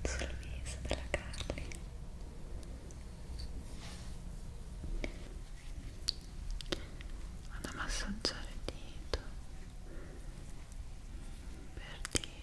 Carly, sul viso della Carly vado a massaggiare il dito per dire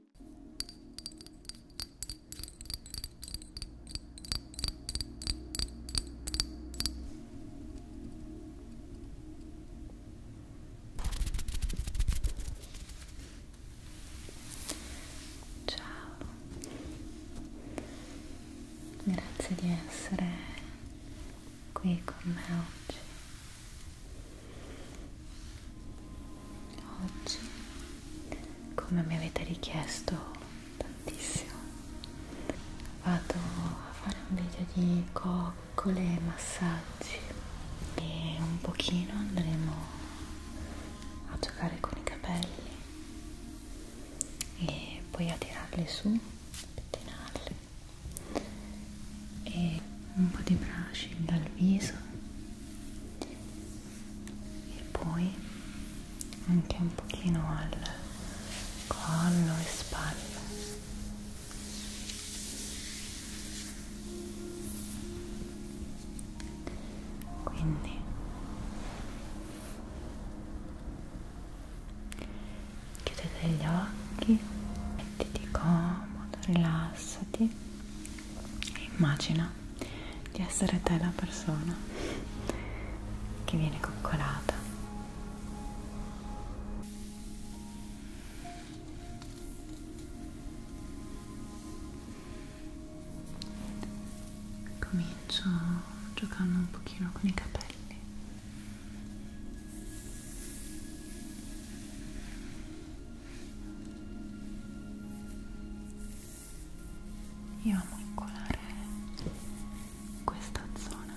Ciao, grazie di essere qui con me oggi oggi come mi avete richiesto tantissimo vado a fare un video di coccole e massaggi e un pochino andremo a giocare con i capelli e poi a tirarli su a pettinarli e un po' di brushing dal viso e poi anche un pochino al collo e spalle quindi chiudete gli occhi mettiti comodo rilassati Immagina di essere te la persona che viene coccolata. Comincio giocando un pochino con i capelli. Io amo incolare questa zona.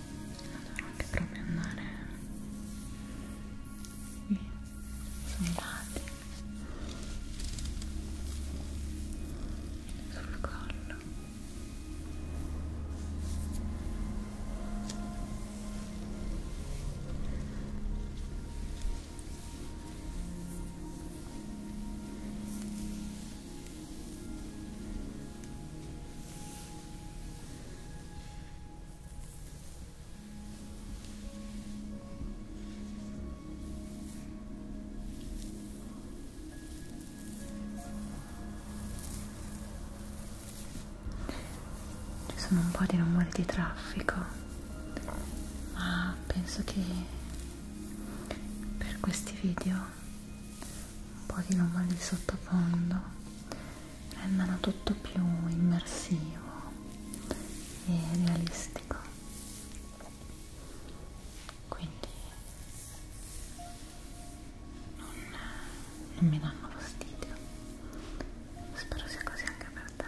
allora anche proprio andare qui sono guardi sul collo ci sono un po' di rumori di traffico, ma penso che per questi video un po' di rumori di sottofondo rendano tutto più immersivo e realistico quindi non, non mi danno fastidio spero sia così anche per te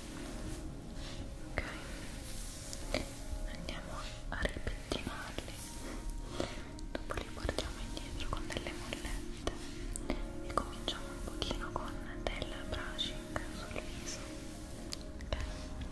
ok andiamo a ripettinarli dopo li portiamo indietro con delle mollette e cominciamo un pochino con del brushing sul viso ok ok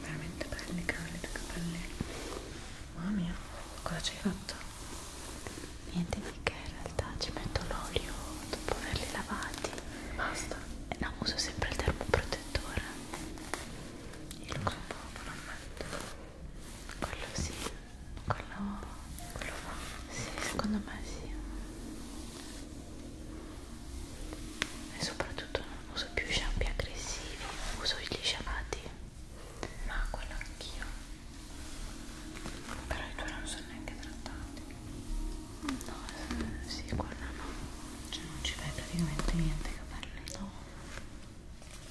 veramente belli cavoli due capelli mamma mia cosa ci hai fatto? niente di che in realtà ci metto l'olio dopo averli lavati basta e eh, no uso sempre il termoprotettore io lo so poco non metto quello sì quello, quello fa sì, secondo me sì e soprattutto non uso più shampoo aggressivi uso gli sciamati ma quello anch'io però i tuoi non sono neanche trattati no, eh, sì, quella no cioè non ci fai praticamente niente i capelli no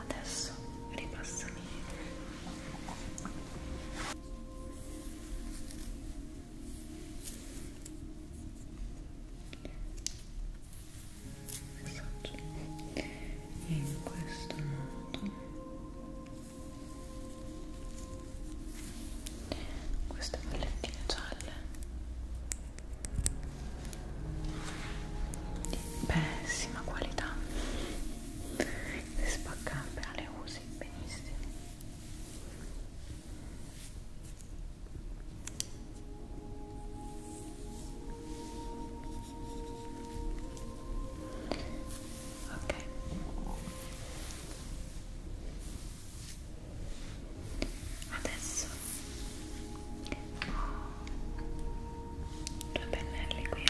adesso ripassami messaggio in questo modo queste pallettine gialle pessima qualità le spaccano appena ah, le usi benissimo ok adesso ho due pennelli qui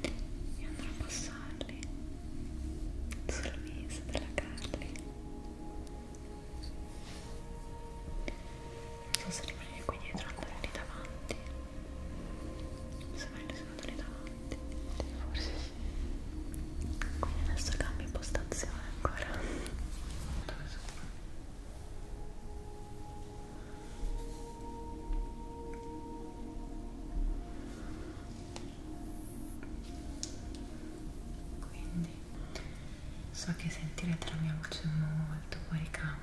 e andrò a passarli sul viso della Carly non so se rimanere qui dietro o andare lì davanti se mai le sono andate davanti forse sì quindi adesso cambio impostazione ancora dove sono? quindi so che sentirete la mia voce molto fuori campo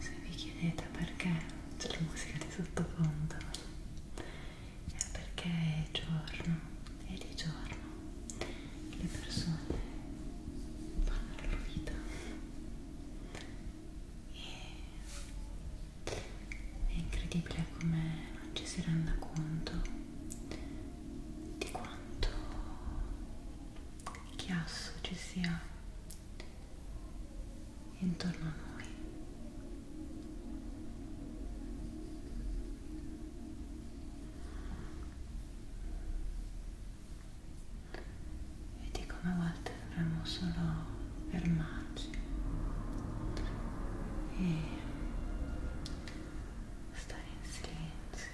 se vi chiedete perché c'è la musica di sottofondo è perché è giorno e di giorno le persone fanno la loro vita e è incredibile come non ci si renda conto di quanto chiasso ci sia intorno a noi. Vedi come a volte dovremmo solo fermarci e stare in silenzio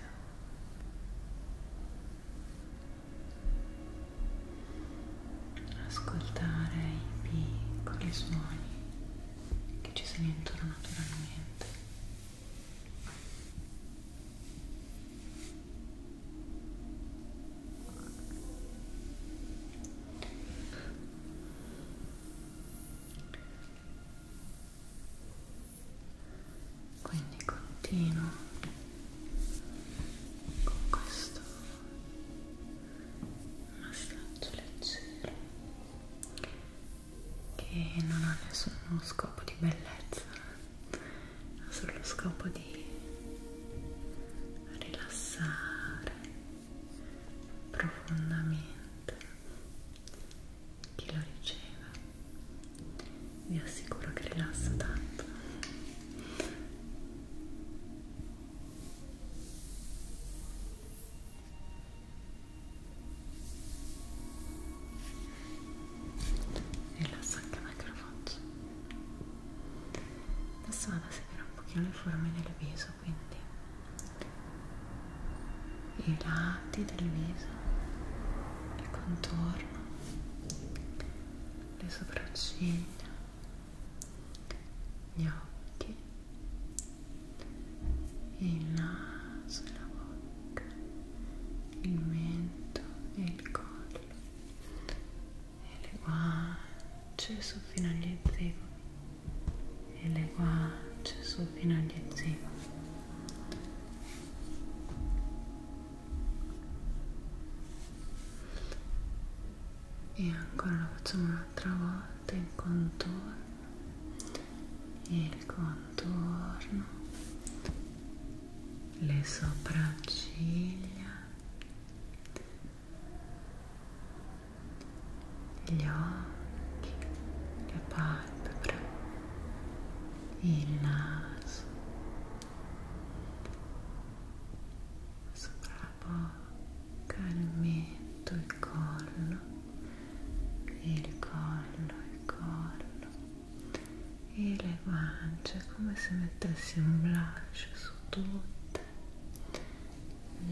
ascoltare i piccoli suoni che ci sono intorno naturalmente quindi continuo con questo massaggio leggero che non ha nessuno scopo di bellezza ha solo scopo di rilassare profondamente chi lo riceve vi assicuro che rilassa tanto rilassa anche il microfono adesso vado a seguire un pochino le forme del viso quindi i lati del viso il contorno le sopracciglia, gli occhi, il naso e la bocca, il mento e il collo, e le guance su fino agli zigomi, e le guance su fino agli zigomi e ancora lo facciamo un'altra volta il contorno il contorno le sopracciglia gli occhi le palpebre il naso sopra la bocca, il mento, il collo, il collo, il collo e le guance come se mettessi un blush su tutte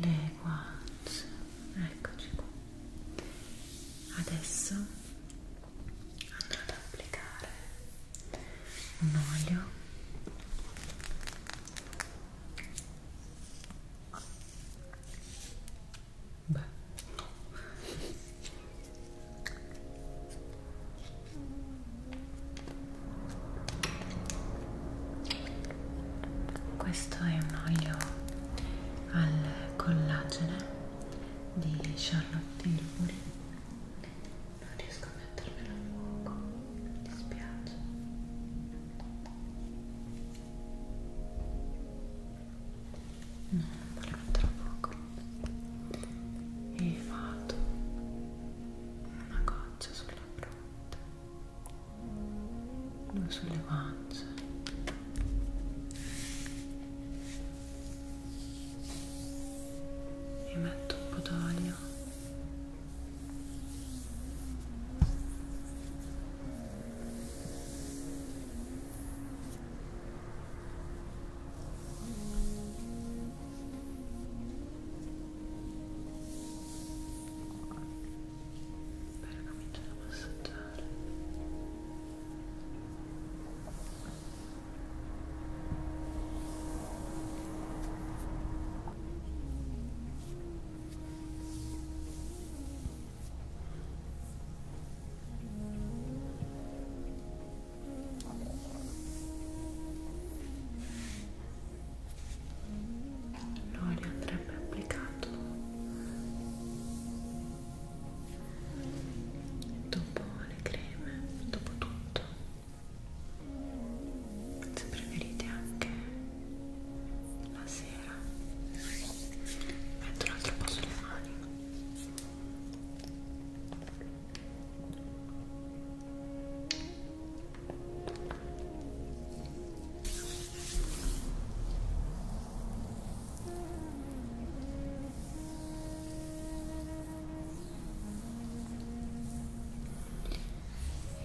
le guance eccoci qua adesso andrò ad applicare un olio Beh, no. Questo è un olio al collagene di Charlotte Tilbury non riesco a mettermelo a fuoco, mi dispiace no, non voglio metterlo a fuoco e vado una goccia sulla fronte due sulle guance e metto un po' d'olio per cominciare a massaggiare L'olio andrebbe applicato dopo le creme, dopo tutto se preferite anche la sera metto un altro po' sulle mani Ecco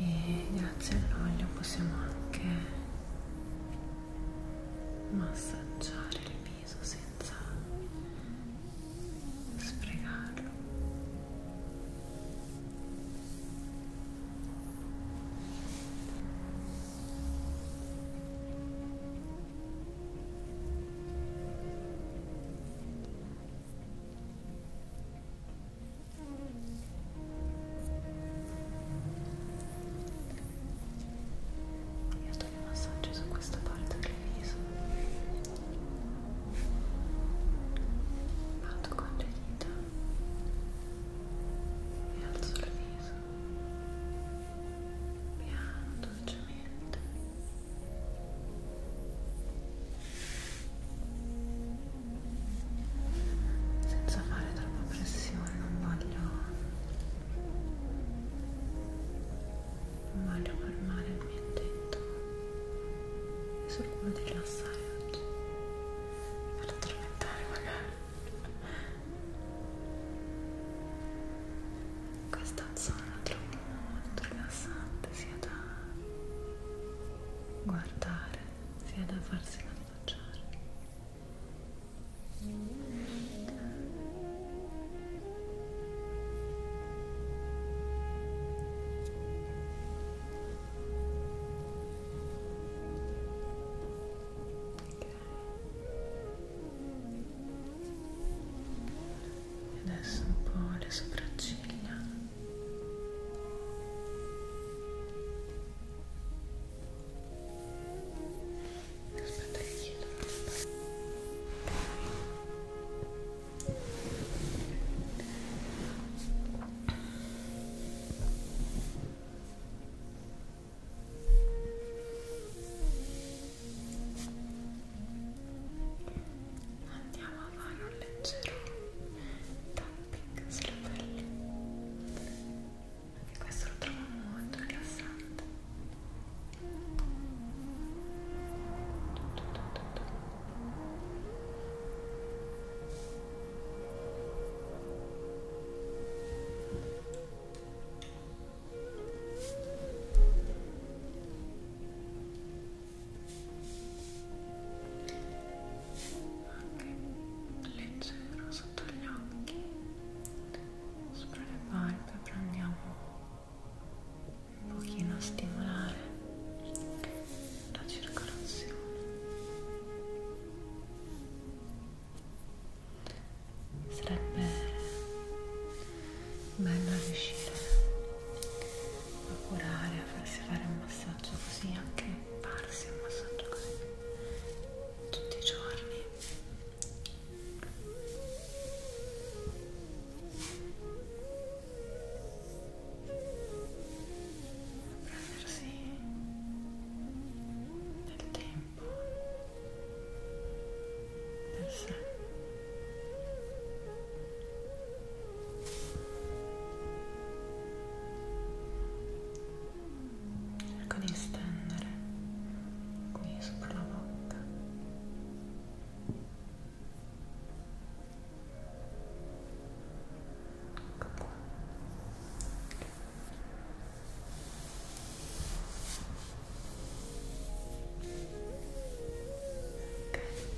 e grazie all'olio possiamo anche massaggiare il viso senza sprecarlo io sto di massaggio su questa parte del viso. Vado con le dita e alzo il viso. Piano, dolcemente senza fare troppa pressione non voglio non voglio fermare il mio intento è solo quello di rilassare oggi per addormentare magari questa zona la trovo molto rilassante sia da guardare sia da farsi massaggiare Okay. e adesso un po' le sopracciglia andiamo a fare un leggero tapping sulla pelle e questo lo trovo molto rilassante Ecco anche leggero sotto gli occhi sopra le palpebre andiamo un pochino a stimolare la circolazione sarebbe bello riuscire a curare, a farsi fare un massaggio così, anche farsi un massaggio così tutti i giorni. Prendersi del tempo per sé cerco di estendere qui sopra la bocca ecco ok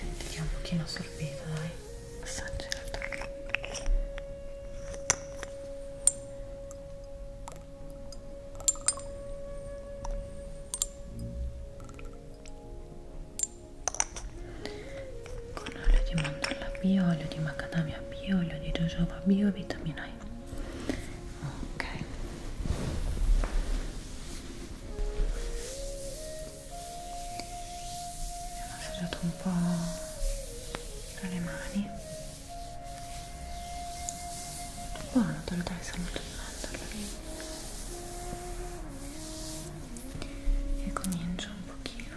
Senti che è un pochino assorbito, dai. Assaggiato. Con olio di mandorla bio, olio di macadamia bio, olio di jojoba bio, vitamina mai ok abbiamo assaggiato un po' tra le mani buono te lo dai saluto di mandorla e comincio un pochino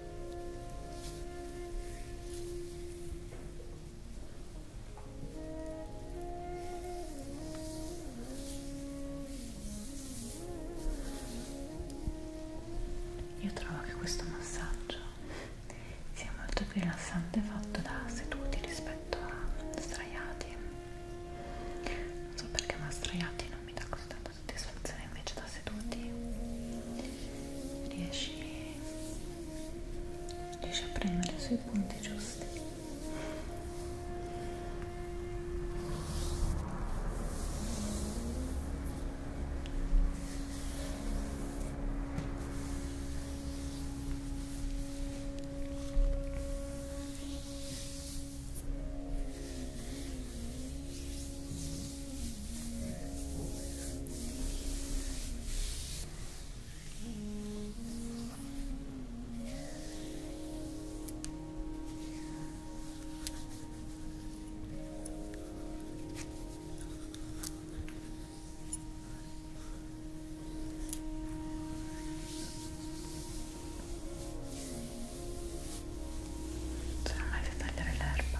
Io trovo che questo massaggio sia molto più rilassante fatto da seduti rispetto a straiati. Non so perché, ma straiati non mi dà così tanta soddisfazione, invece sta seduti riesci, riesci a premere sui punti giusti Ora non so mai se tagliare l'erba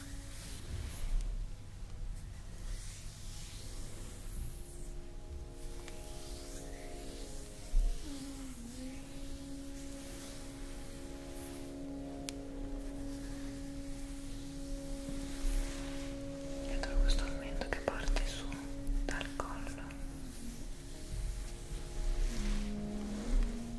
Dietro questo aumento che parte su dal collo.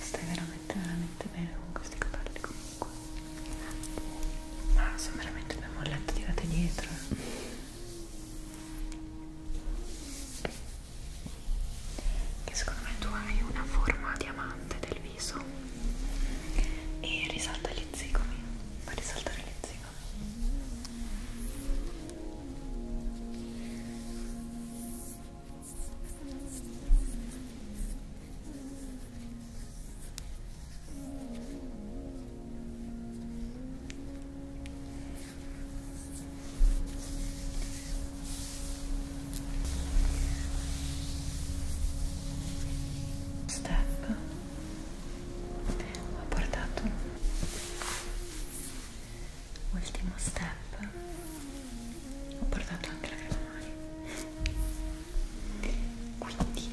Stai veramente veramente bene con questi capelli comunque. Ma sono veramente ben molletti tirati dietro. Eh che secondo me tu hai una forma diamante del viso e risalta gli zigomi fa risaltare gli zigomi Step ho portato ultimo step ho portato anche la crema mani quindi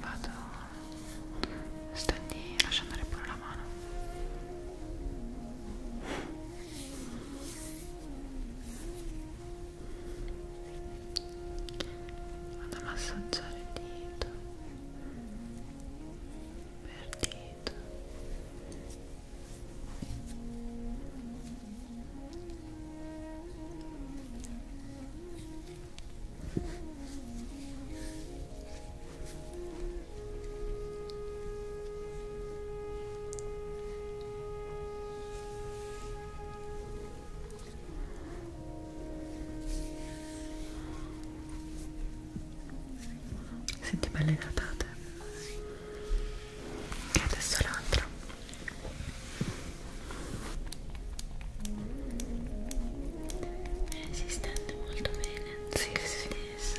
vado stendi lascia andare pure la mano vado a massaggiare il dito per dito Senti belle datate e adesso l'altra si stende molto bene si sì, sì. stessa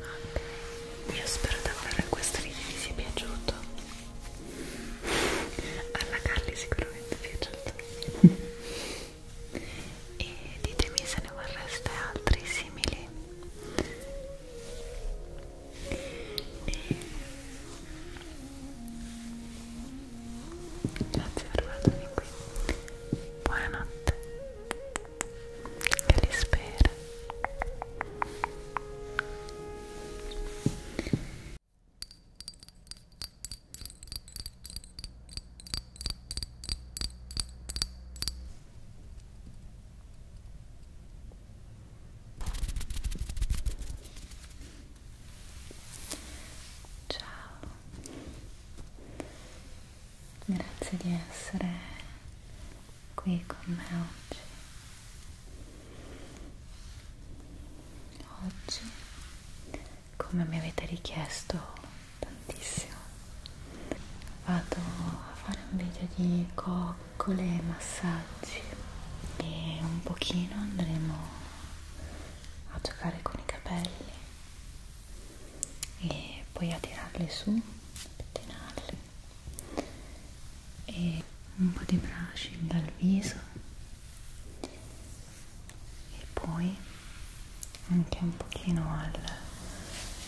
Vabbè, io spero davvero che questo video vi sia piaciuto alla Carly sicuramente è piaciuto e ditemi se ne vorreste altri simili e... grazie per guardarmi qui buonanotte che li spero Ciao, grazie di essere qui con me oggi oggi come mi avete richiesto tantissimo vado a fare un video di coccole e massaggi e un pochino andremo a giocare con i capelli e poi a tirarli su a pettinarli e un po' di brushing dal viso e poi anche un pochino al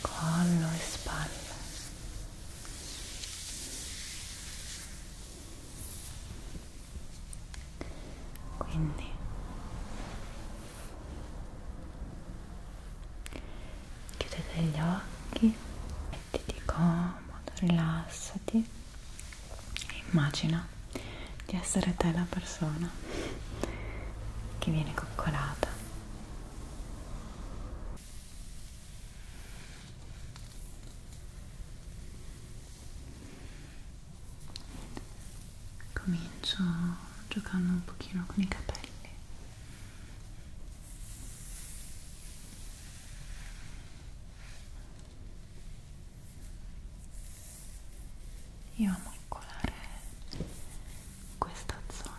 collo e spalle quindi chiudete gli occhi mettiti comodo rilassati e immagina di essere te la persona che viene coccolata comincio giocando un pochino con i capelli io amo colare questa zona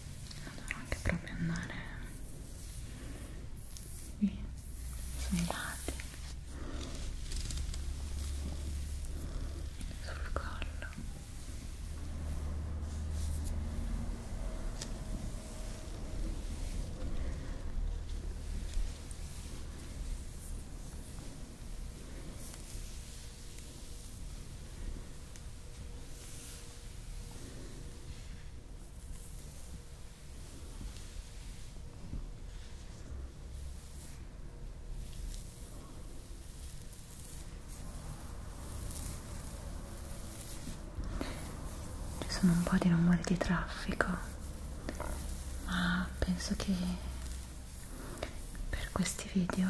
dovrò anche proprio andare qui sui lati sul collo ci sono un po' di rumori di traffico, ma penso che per questi video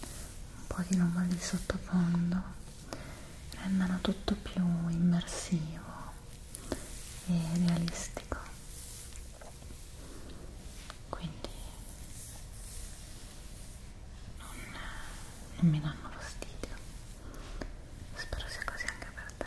un po' di rumori di sottofondo rendano tutto più immersivo e realistico quindi non, non mi danno fastidio spero sia così anche per te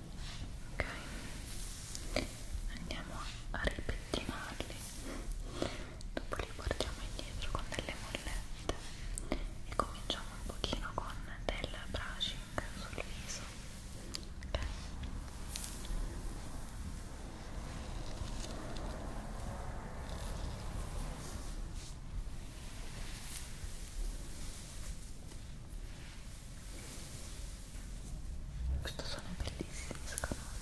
ok andiamo a ripettinarli dopo li portiamo indietro con delle mollette e cominciamo un pochino con del brushing sul viso ok ok questo suono è bellissimo secondo me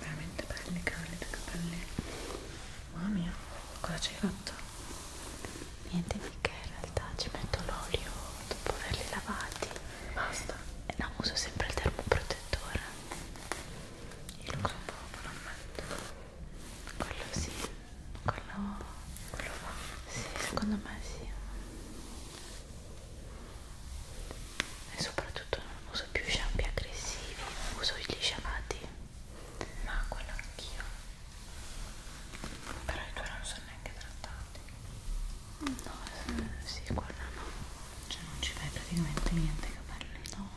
veramente belli candida capelli mamma mia cosa ci hai fatto? niente mica in realtà ci metto l'olio dopo averli lavati basta e no uso sempre il termoprotettore io lo so un po' non metto quello sì quello, quello va sì, secondo me sì e soprattutto non uso più shampoo aggressivi uso gli sciamati ma quello anch'io però i tuoi non sono neanche trattati no, se, eh, sì, quello no cioè non ci fai praticamente niente i capelli no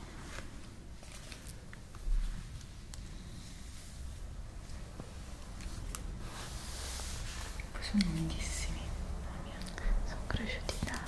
poi sono lunghissimi, mamma mia, sono cresciuti tanto.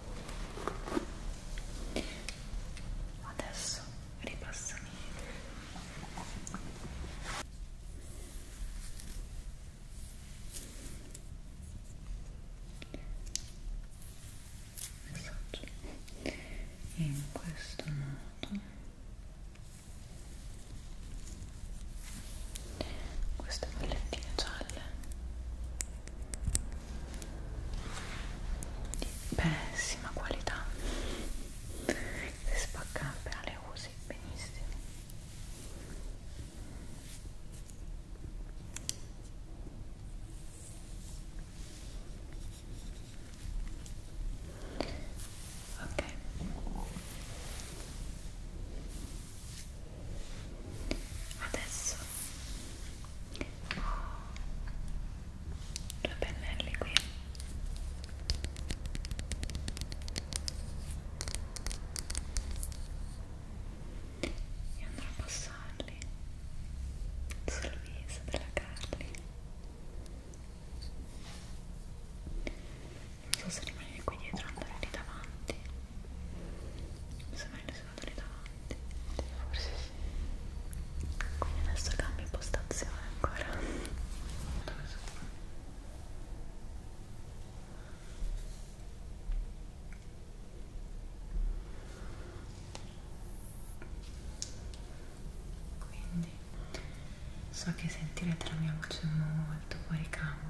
adesso ripassami messaggio in questo modo queste pallettine gialle di pessima qualità se spacca appena le usi benissimo ok adesso due pennelli qui e andrò a passarli sul viso della Carly non so se rimanere qui dietro o andare lì davanti mi sembra sono andati davanti forse sì quindi adesso cambio impostazione ancora dove sono? quindi so che sentirete la mia voce molto fuori campo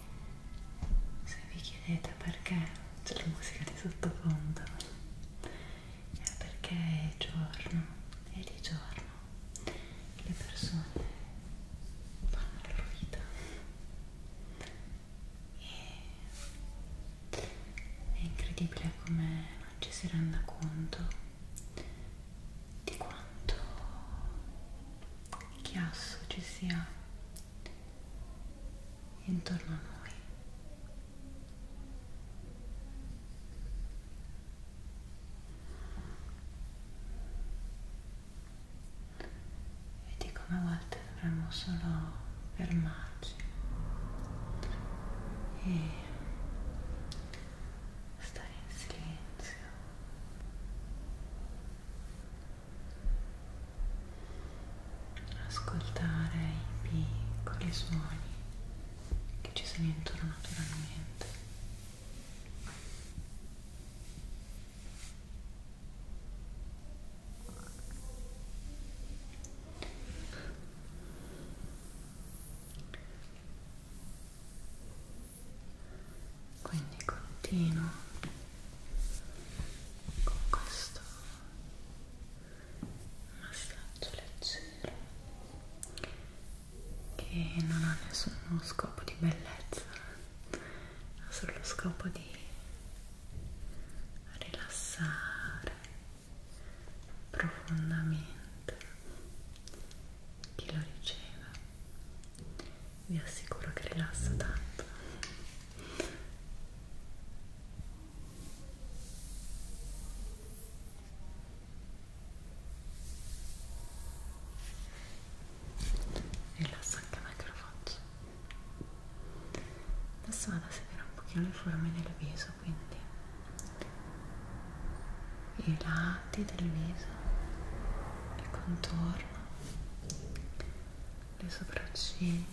se vi chiedete perché c'è la musica di sottofondo è perché è giorno e di giorno le persone fanno la loro vita e è incredibile come non ci si renda conto di quanto chiasso ci sia intorno a noi. Vedi come a volte dovremmo solo fermarci e stare in silenzio ascoltare i piccoli suoni che ci sono intorno naturalmente quindi continuo con questo massaggio leggero che non ha nessuno scopo di bellezza ha solo scopo di rilassare profondamente chi lo riceve vi assicuro che rilassa tanto Rilassa anche me che lo faccio. Adesso vado a seguire un pochino le forme del viso, quindi i lati del viso, il contorno, le sopracciglia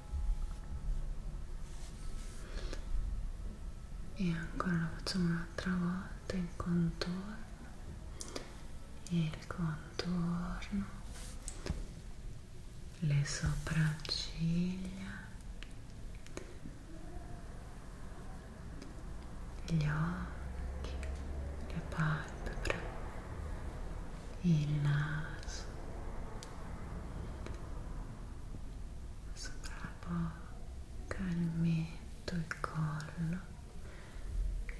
e ancora lo facciamo un'altra volta il contorno il contorno le sopracciglia gli occhi le palpebre il naso sopra la bocca, il mento, il collo,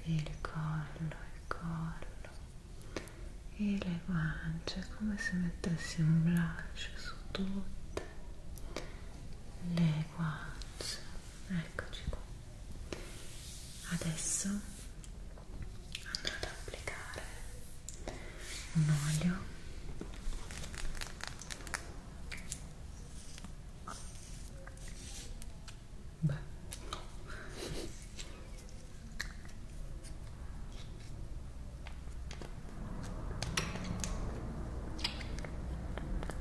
il collo, il collo e le guance come se mettessi un blush su tutte le guance eccoci qua adesso andrò ad applicare un olio beh no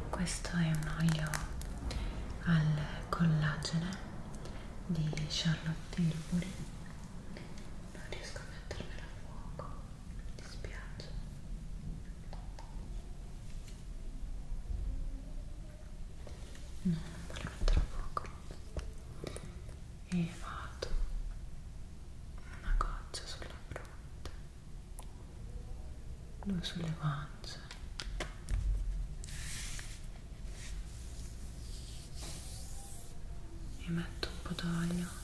questo è un olio al collagene di Charlotte Tilbury non riesco a mettermelo a fuoco mi dispiace no, non voglio mettere a fuoco e vado una goccia sulla fronte due sulle guance e metto un po' d'olio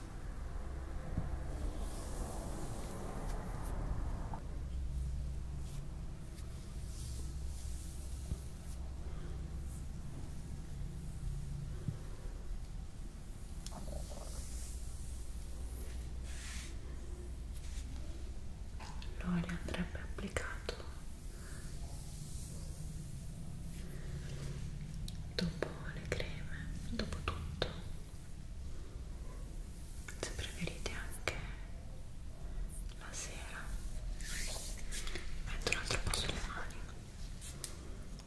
L'olio andrebbe applicato dopo le creme, dopo tutto se preferite anche la sera metto un altro po' sulle mani ok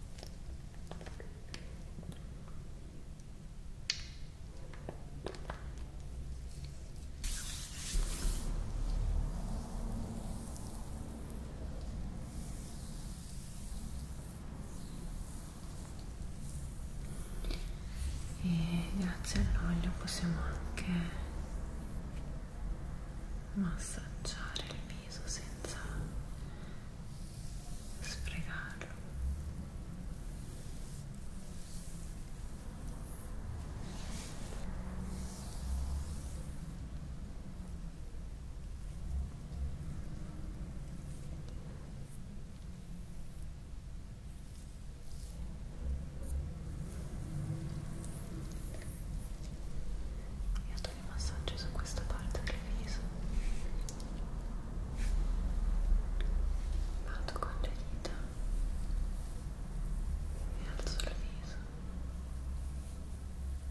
e grazie all'olio possiamo anche massaggiare il viso senza sprecarlo e ad ogni massaggio su questa parte del viso vado con le dita e alzo il viso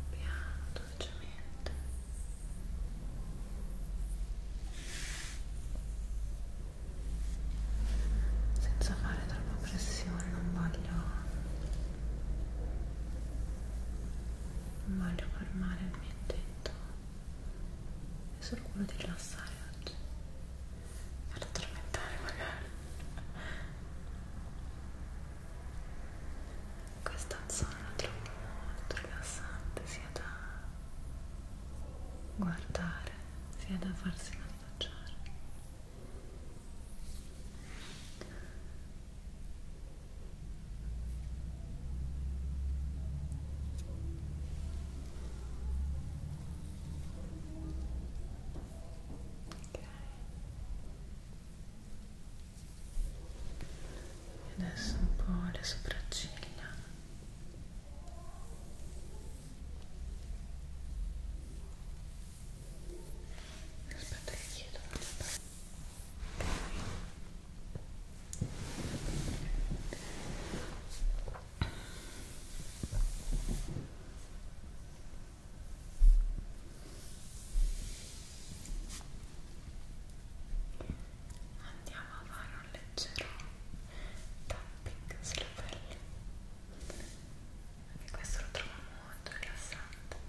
piano, dolcemente senza fare troppa pressione non voglio non voglio fermare il mio intento è solo quello di rilassare oggi per addormentare magari questo è un sonno troppo molto rilassante sia da guardare sia da farsi massaggiare ok adesso un po' le sopracciglia aspetta che chiedo andiamo a fare un leggero tapping sulla pelle e questo lo trovo molto rilassante Ecco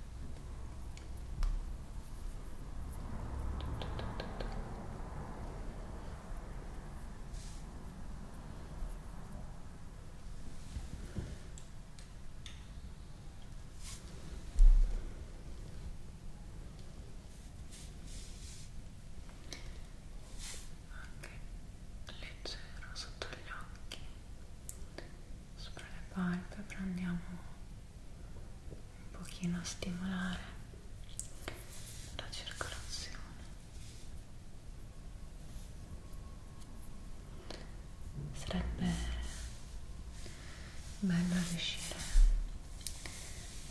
anche leggero sotto gli occhi sopra le palpebre andiamo un pochino a stimolare la circolazione sarebbe bello riuscire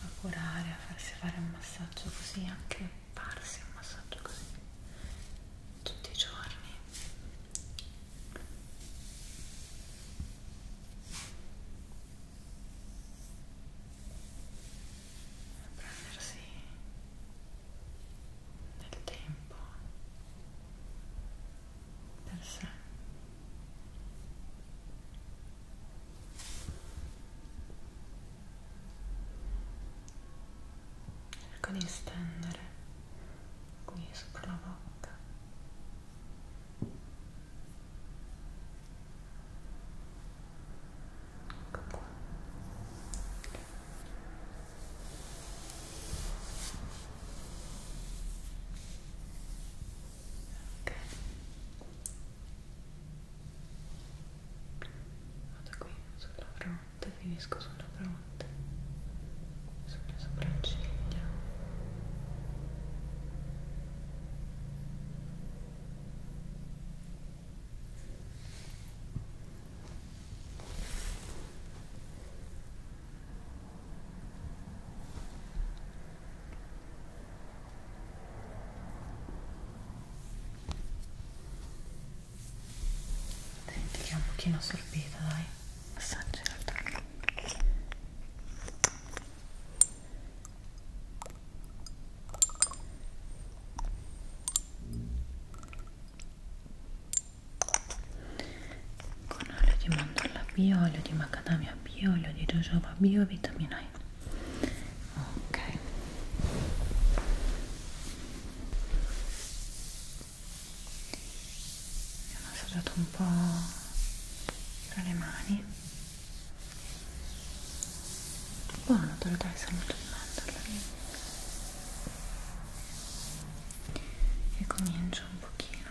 a curare, a farsi fare un massaggio così, anche farsi un massaggio così tutti i giorni prendersi del tempo per sé cerco di stendere qui sopra la bocca ecco qua ok vado qui sulla fronte finisco sulla fronte sulle sopracciglia Ecco Senti che è un pochino assorbita, dai. Assaggia il tocco. Con olio di mandorla bio, olio di macadamia bio, olio di jojoba bio, vitamina E ok mi hanno assaggiato un po' tra le mani buono te lo dai saluto di mandarla e comincio un pochino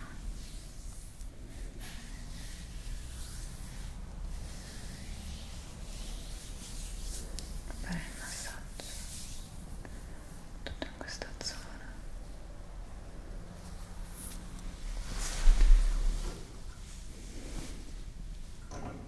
fare il massaggio tutto in questa zona Ora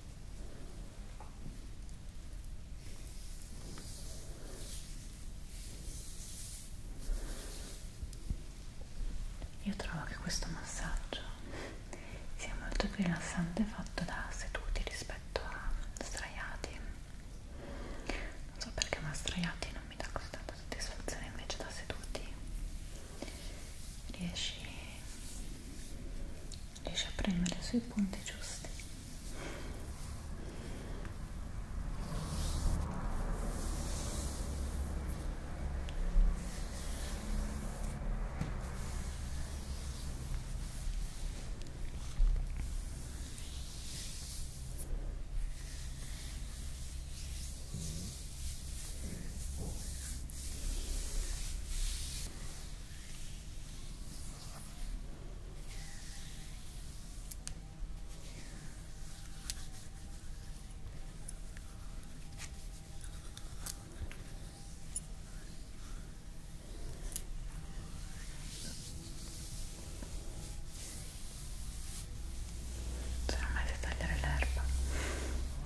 Io trovo che questo massaggio sia molto più rilassante fatto da seduti rispetto a straiati. Non so perché ma straiati non mi dà così tanta soddisfazione invece da seduti riesci, riesci a premere sui punti giusti sono mai se tagliare l'erba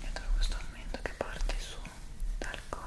Dietro questo aumento che parte su dal collo.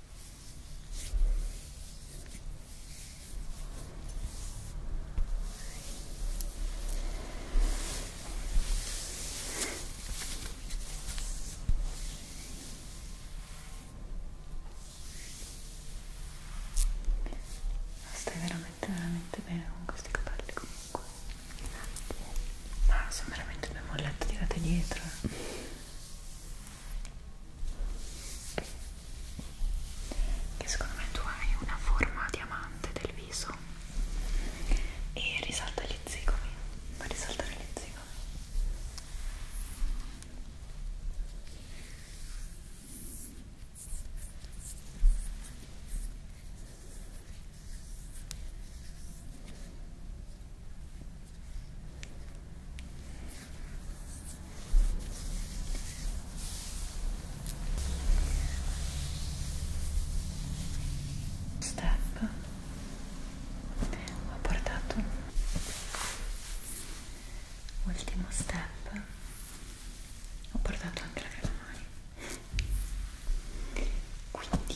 Stai veramente veramente bene con questi capelli comunque. Ma sono veramente due mollette tirate dietro. Eh che secondo me tu hai una forma diamante del viso e risalta gli zigomi fa risaltare gli zigomi Step ho portato ultimo step ho portato anche la crema mani quindi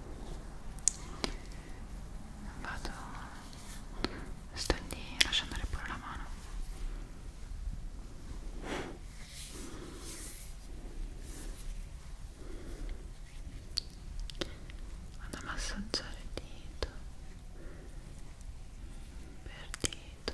vado stendi lascia andare pure la mano vado a massaggiare dito per dito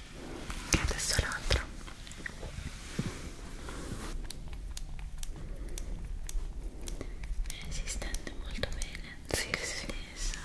e adesso l'altro eh, si stende molto bene si sì, sì. stessa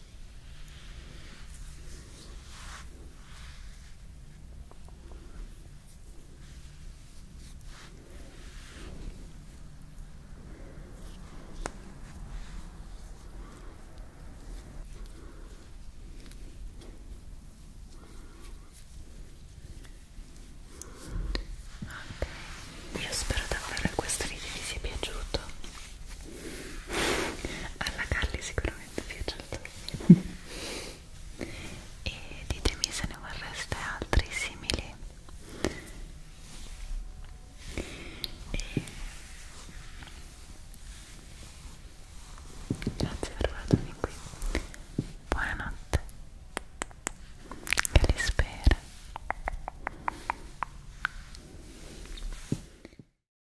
Ok, io spero davvero che questo video vi sia piaciuto alla Carly sicuramente piace certo e ditemi se ne vorreste altri simili e... grazie per aver dormito qui buonanotte che li spera